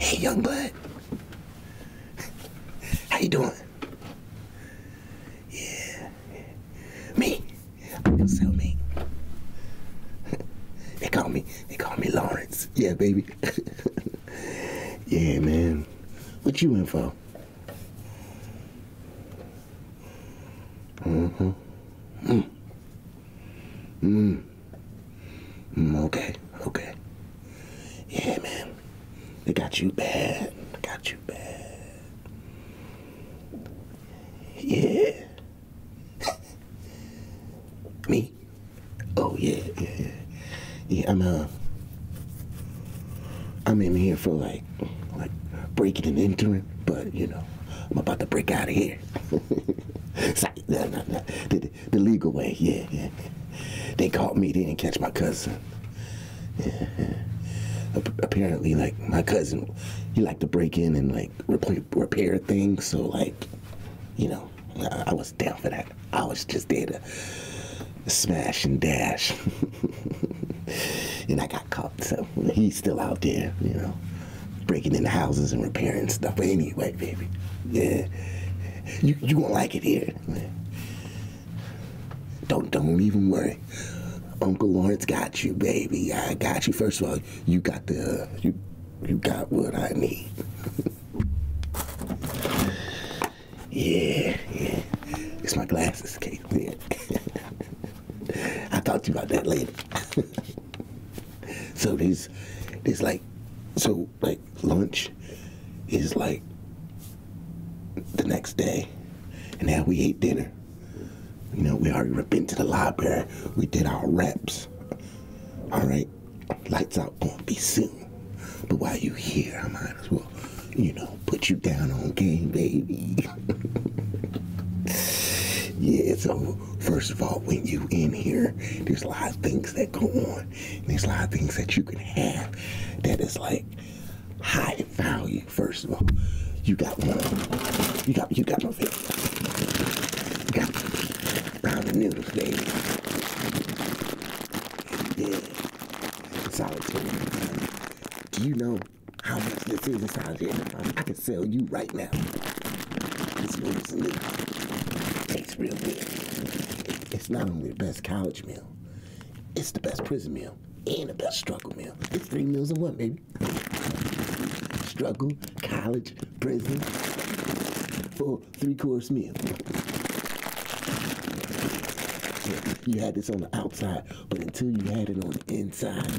Hey, young bud. How you doing? Yeah. Me. I'm your cellmate. they call me, they call me Lawrence. Yeah, baby. yeah, man. What you in for? Mm-hmm. Mm. Mm. mm. Okay. Okay. Yeah, man. They got you bad. They got you bad. Yeah. Me? Oh yeah, yeah, yeah. I'm uh I'm in here for like like breaking and entering, but you know, I'm about to break out of here. Sorry, no, no, the legal way. Yeah, They caught me. They didn't catch my cousin. Apparently, like my cousin, he liked to break in and like repair things. So like, you know, I, was down for that. I was just there to smash and dash. and I got caught, so he's still out there, you know, breaking into houses and repairing stuff. But anyway, baby, yeah, you you gonna like it here. Don't don't even worry. Uncle Lawrence got you, baby. I got you. First of all, you got the you you got what I need. yeah, yeah. It's my glasses, Kate. I'll talk to you about that later. so these, these like, so like, lunch is like the next day. And now we ate dinner. You know, we already went to the library. We did our reps. All right, lights out gonna be soon. But while you here, I might as well, you know, put you down on game, baby. yeah. So first of all, when you in here, there's a lot of things that go on. There's a lot of things that you can have that is like high value. First of all, you got one. You got you got no video. You got round the noodles, baby. Yeah, solitary. Do you know how much this is in here. I can sell you right now. This noodles and tastes real good. It's not only the best college meal, it's the best prison meal and the best struggle meal. It's three meals in one, baby. Struggle, college, prison, full three course meal. You had this on the outside, but until you had it on the inside,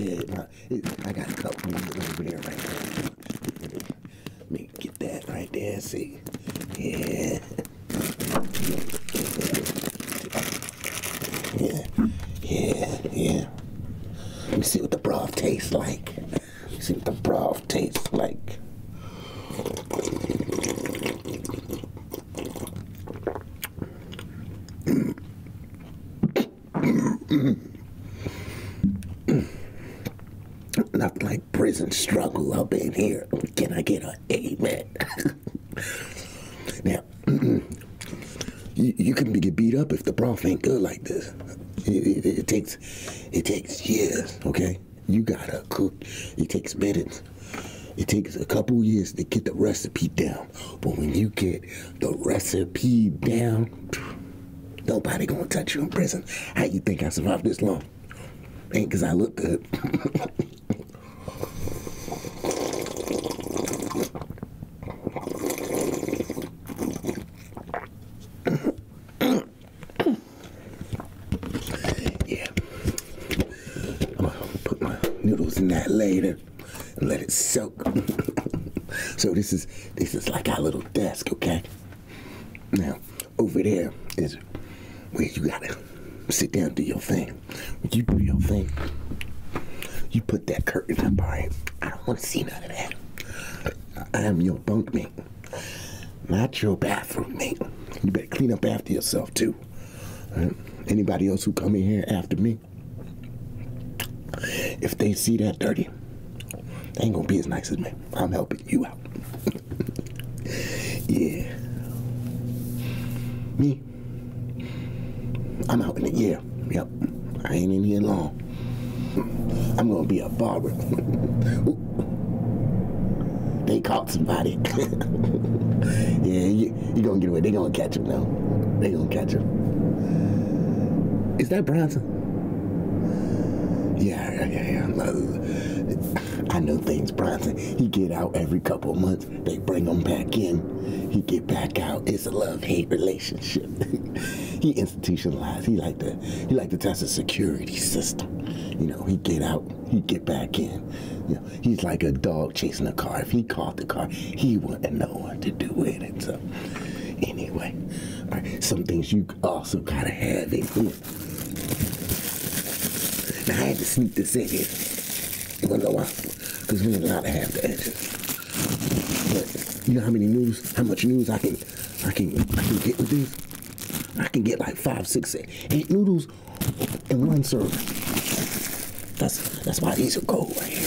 yeah, I got a couple over there right now. Let me get that right there. See? Yeah. Yeah. Yeah. Yeah. Let me see what the broth tastes like. let see what the broth tastes like. Nothing like prison struggle up in here. Can I get an amen? now, you, you can get beat up if the broth ain't good like this. It, it, takes it takes years, okay? You gotta cook. It takes minutes. It takes a couple years to get the recipe down. But when you get the recipe down, Nobody gonna touch you in prison. How you think I survived this long? Ain't cause I look good. yeah. I'm gonna put my noodles in that later and let it soak. so this is this is like our little desk, okay? Now, over there is where you gotta sit down do your thing. When you do your thing, you put that curtain up, alright? I don't wanna see none of that. I am your bunkmate, not your bathroom mate. You better clean up after yourself too. Anybody else who come in here after me, if they see that dirty, they ain't gonna be as nice as me. I'm helping you out. yeah. Me. I'm out in the air. Yep. I ain't in here long. I'm gonna be a barber. they caught somebody. yeah, you, you gonna get away. They gonna catch him now. They gonna catch him. Is that Bronson? Yeah, yeah, yeah. I know things, Bronson. He get out every couple months. They bring him back in. He get back out. It's a love-hate relationship. he institutionalized. He like to he like to test the security system. You know, he get out, he get back in. You know, he's like a dog chasing a car. If he caught the car, he wouldn't know what to do with it. So anyway, right, some things you also kind of have it. Ooh. Now I had to sneak this in here. Well, no, because we ain't allowed to have that. But you know how many noodles? how much noodles I can, I can, I can get with these? I can get like five, six, eight noodles in one serving. That's that's why these are gold right here.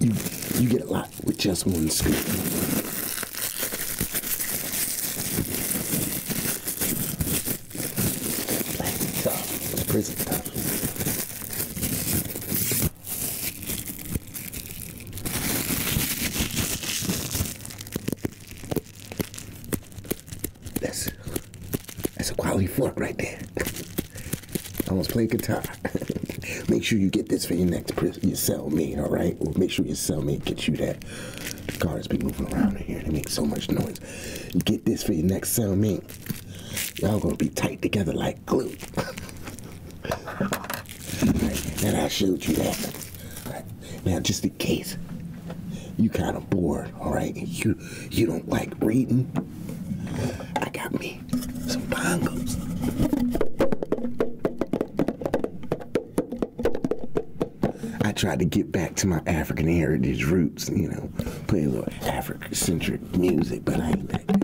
You, you get a lot with just one scoop. that's a quality fork right there. I wanna play guitar. make sure you get this for your next you sell me, all right? Well, make sure you sell me. Get you that. cars be moving around in here. They make so much noise. Get this for your next sell me. Y'all gonna be tight together like glue. and I showed you that. now, just in case you kind of bored, all right? You you don't like reading I got me some bongos. I tried to get back to my African heritage roots, you know, play a little Africa centric music, but I ain't like that.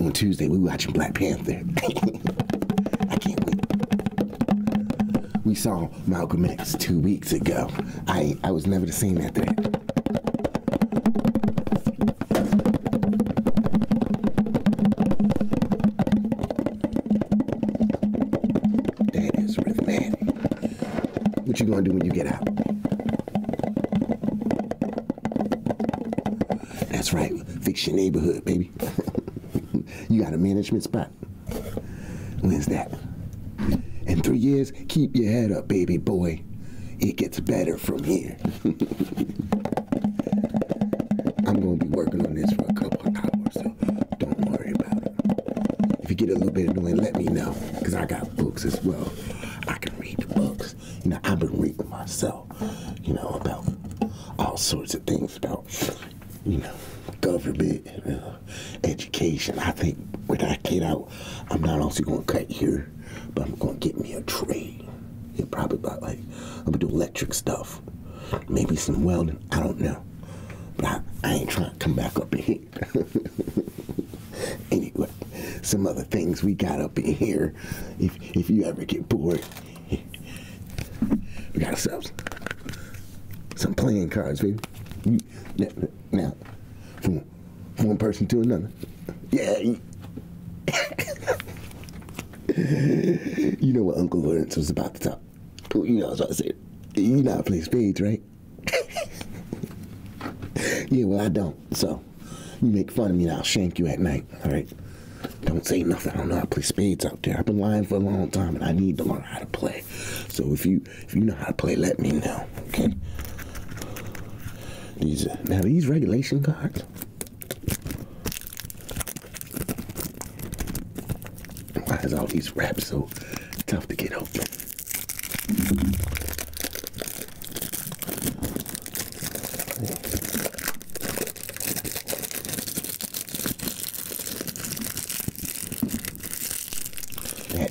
On Tuesday, we watching Black Panther. I can't wait. We saw Malcolm X two weeks ago. I, I was never the same after that. That is rhythmatic. What you gonna do when you get out? That's right, fix your neighborhood, baby. you got a management spot. When's that. In three years, keep your head up, baby boy. It gets better from here. I'm gonna be working on this for a couple hours, so don't worry about it. If you get a little bit annoying, let me know, because I got books as well. I can read the books. You know, I've been reading myself, you know, about all sorts of things about, you know, government, uh, education. I think when I get out, I'm not also gonna cut here, but I'm gonna get me a trade. Yeah, probably about like I'm gonna do electric stuff, maybe some welding. I don't know, but I, ain't trying to come back up in here. anyway, some other things we got up in here. If if you ever get bored, we got ourselves some playing cards, baby. You, now, from one person to another. Yeah. you know what Uncle Lawrence was about to talk. You know what I said. You know I play spades, right? yeah, well, I don't. So, you make fun of me and I'll shank you at night, all right? Don't say nothing. I don't know how to play spades out there. I've been lying for a long time and I need to learn how to play. So if you if you know how to play, let me know, okay? These now these regulation cards. Why is all these wraps so tough to get open?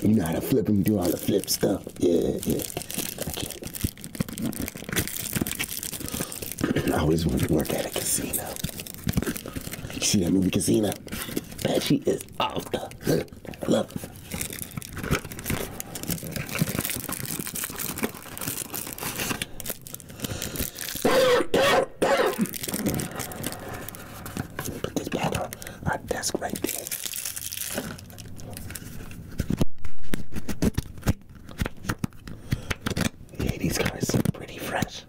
you know how to flip them, do all the flip stuff. Yeah, yeah. I always wanted to work at a casino. You see that movie Casino? That she is off the love Put this back on our desk right there. Yeah, these colors look pretty fresh.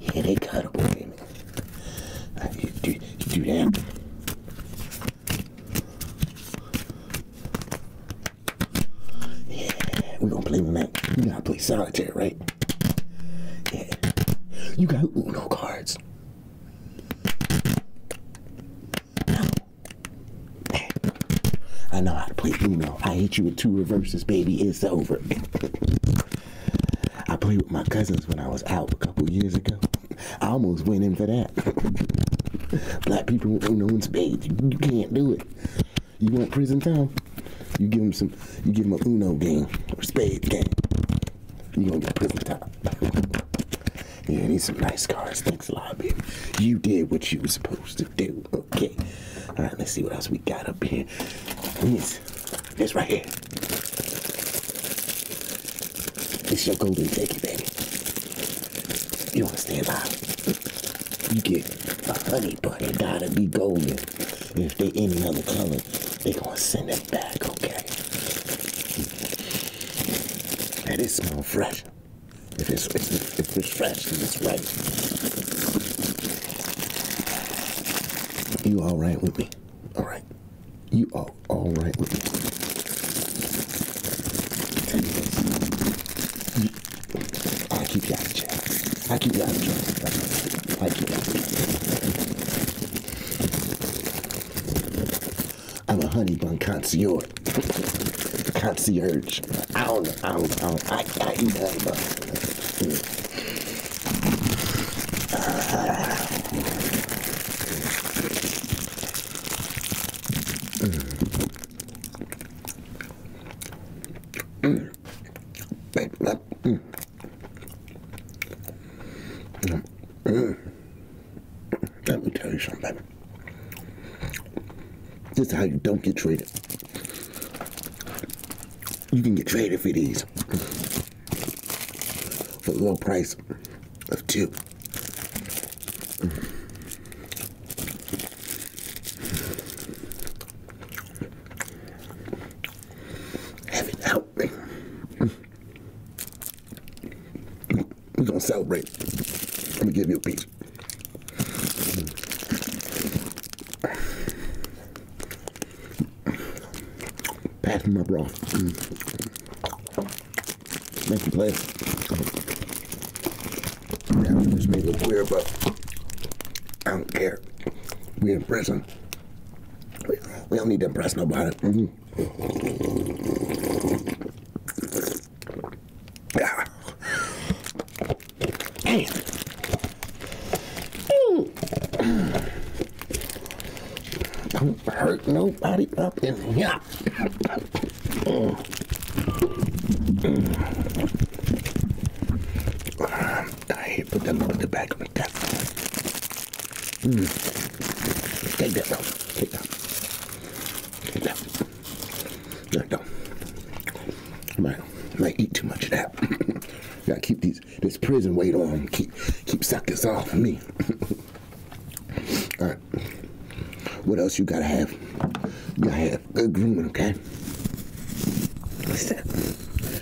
Yeah, they cut baby. Uh, you do, do that. Yeah, we're gonna play with that. You know, play solitaire, right? You got Uno cards. No. I know how to play Uno. I hit you with two reverses, baby. It's over. I played with my cousins when I was out a couple years ago. I almost went in for that. Black people with Uno and spades. You can't do it. You want prison time? You give him some. You give him a Uno game or spade game. You gonna get prison time. yeah, need some nice cards. Thanks a lot, baby. You did what you were supposed to do. Okay. All right. Let's see what else we got up here. This, this right here. This your golden ticket, baby. You wanna stand by? You get a honey bun. It gotta be golden. If they any other color, they gonna send it back, okay? And it smell fresh. If it's, if it's fresh, it's right. You all right with me? All right. You are all right with me? keep, I keep you out of jail. I keep you out of jail. That's what I, keep you out of jail. I'm a honey bun concierge. concierge. I don't know. I don't know. I, I, I eat honey buns. Mm. mm. Let me tell you something. This is how you don't get traded. You can get traded for these for the low price of two. Have it out. We're gonna celebrate. Let me give you a piece. Pat my bra. Mm. Thank you, player. it look weird, but I don't care there. We in prison. We, don't need to impress nobody. Mm-hmm. yeah. Hey. Don't hurt nobody up in here. Mm. I hate put them on the back like that. Mm. Take that Take that. Take that. There you go. I might, might eat too much of that. Gotta keep these this prison weight on. Keep keep suckers off me. All right. What else you gotta have? You gotta have Good okay?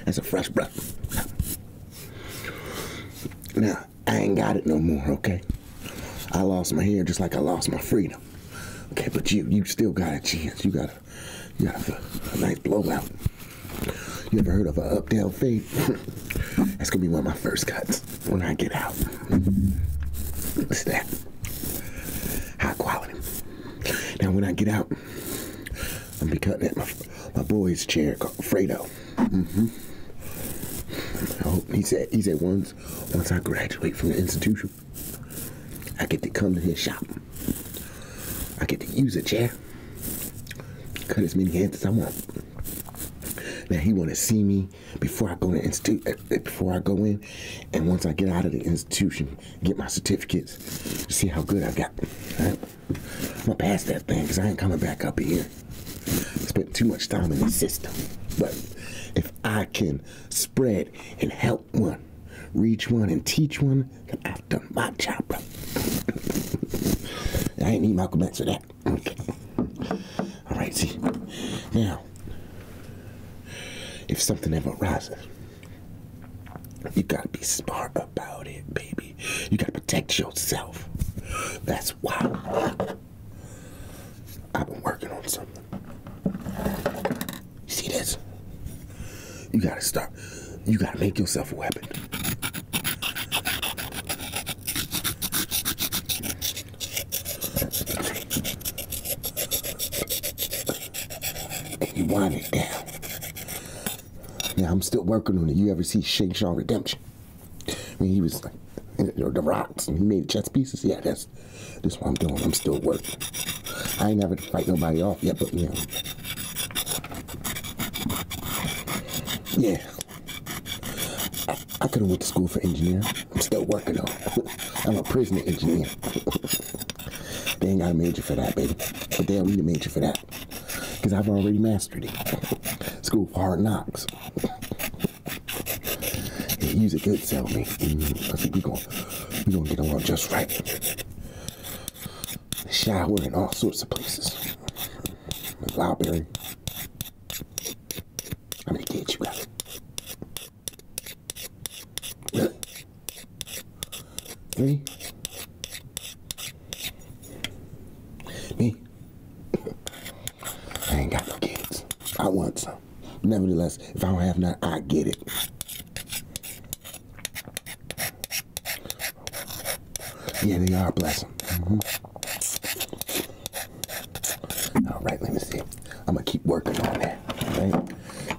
That's a fresh breath. Now, I ain't got it no more, okay? I lost my hair just like I lost my freedom. Okay, but you you still got a chance. You got a, got a, nice blowout. You ever heard of a up fade? That's gonna be one of my first cuts when I get out. What's that? High quality. Now when I get out, I'm be cutting at my, my boy's chair called Fredo. Mm -hmm. I he said he said once once I graduate from the institution, I get to come to his shop. I get to use a chair, cut as many hands as I want. Now he want to see me before I go to institute, uh, before I go in, and once I get out of the institution, get my certificates see how good I got. All right? I'm gonna pass that thing because I ain't coming back up here. Spent too much time in the system. But if I can spread and help one, reach one and teach one, then I've done my job, I ain't need Malcolm X for that. All right, see. Now, if something ever arises, you gotta be smart about it, baby. You gotta protect yourself. That's why I've been working on something. You see this? You gotta start. You gotta make yourself a weapon and you wind it down. Yeah, I'm still working on it. You ever see Shawshank Redemption? I mean, he was like, or the rocks, and he made chess pieces. Yeah, that's that's what I'm doing. I'm still working. I ain't never fight nobody off yet, but yeah. Yeah. I, could have went to school for engineering. I'm still working on I'm a prisoner engineer. They ain't got a major for that, baby. But they don't need a major for that. Because I've already mastered it. School for hard knocks. yeah, use a good sell me. Mm-hmm. I think we're gonna, we gonna get along just right. Shower in all sorts of places. The library. How many kids you got? Me. Me. I ain't got no kids. I want some. Nevertheless, if I don't have none, I get it. Yeah, they are. Bless them. Mm-hmm. All right, let me see. I'm going to keep working on that.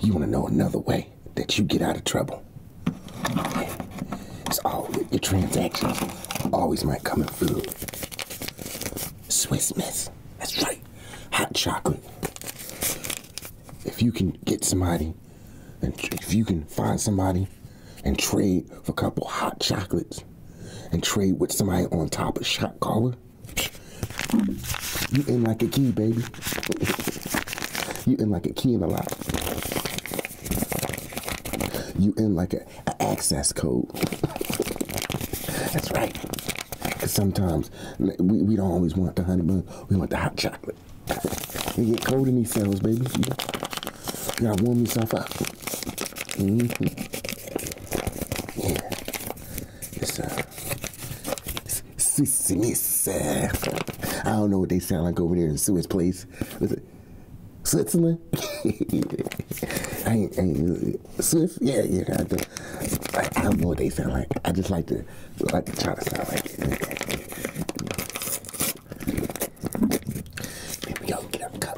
You want to know another way that you get out of trouble. It's all your transactions always might come in food. Swiss Miss, that's right. Hot chocolate. If you can get somebody, and if you can find somebody and trade for a couple hot chocolates and trade with somebody on top of shot caller, you ain't like a key, baby. You in like a key in the lock. You in like a, access code. That's right. sometimes we, we don't always want the honey bun. We want the hot chocolate. They get cold in these cells, baby. You gotta warm yourself up. Mm-hmm. Yeah. It's, Swiss, I don't know what they sound like over there in Swiss place. Switzerland? I Swiss? Yeah, yeah. I, don't know what they sound like. I just like to like to try to sound like it. Here we go. Get up, cup.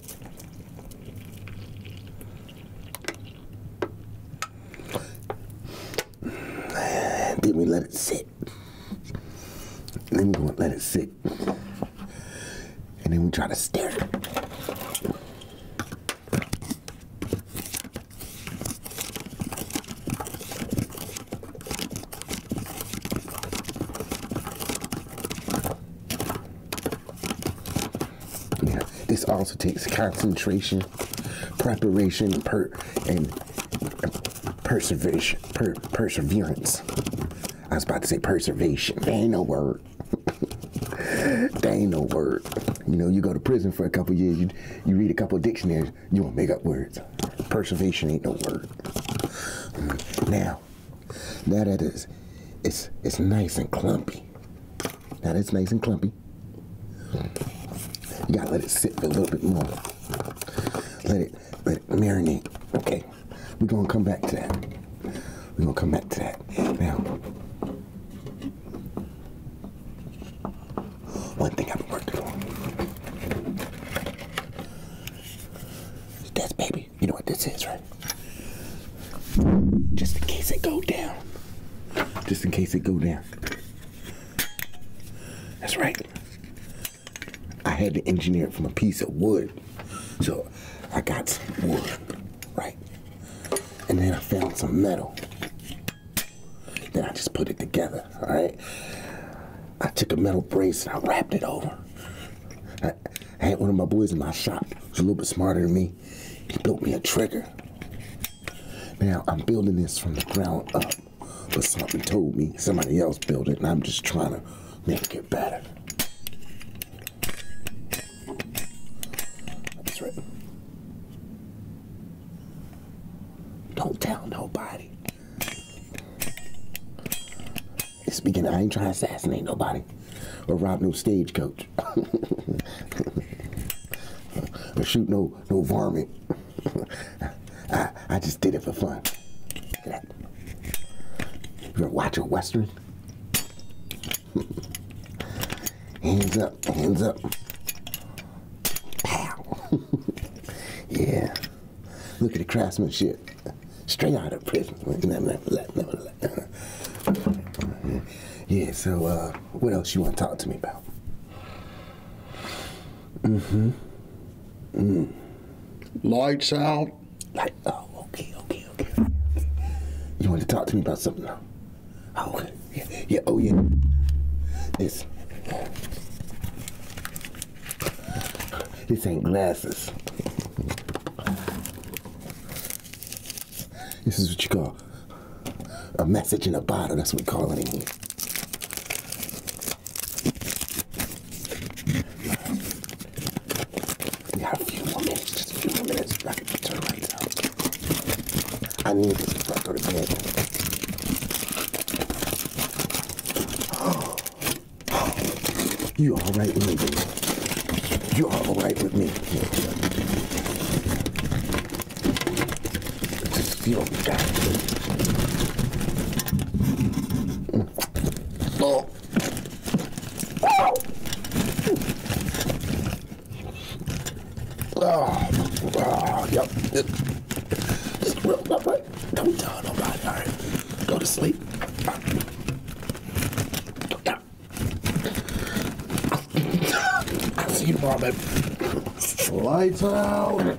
Then we let it sit. Then we gonna let it sit. And then we try to stir now, this also takes concentration, preparation, per and uh, perseveration, perseverance. I was about to say preservation. That ain't no word. that ain't no word. You know, you go to prison for a couple years, you, you read a couple dictionaries, you won't make up words. Preservation ain't no word. Now, now that is, it's, it's nice and clumpy. Now that's nice and clumpy. You gotta let it sit for a little bit more. Let it let it marinate. Okay. We're gonna come back to that. We're gonna come back to that. Now one thing I've been working on. That's baby. You know what this is, right? Just in case it go down. Just in case it go down. That's right. I had to engineer it from a piece of wood. So I got some wood, right? And then I found some metal. Then I just put it together, all right? I took a metal brace and I wrapped it over. I had one of my boys in my shop. He's a little bit smarter than me. He built me a trigger. Now I'm building this from the ground up, but something told me somebody else built it, and I'm just trying to make it better. That's right. Don't tell nobody. Speaking, I ain't trying to assassinate nobody or rob no stagecoach bitch. shoot no no varmint. I, I just did it for fun. You ever watch a western? hands up, hands up. Pow. yeah. Look at the craftsmanship. Straight out of prison. yeah, so uh, what else you want to talk to me about? Mm-hmm. Mm. Lights out. Oh, okay, okay, okay. You want to talk to me about something now? Oh, okay. Yeah, yeah, oh, yeah. This. This ain't glasses. This is what you call a message in a bottle. That's what we call it in here. We got a few more minutes, a few more minutes. I can turn lights I need this before I go to You all right, Lindsay? You're all right with me. Just feel that. Oh. Oh. Oh. Yep. It's real. All right. Don't tell nobody. All right. Go to sleep. Yeah. I've seen vomit. Lights out.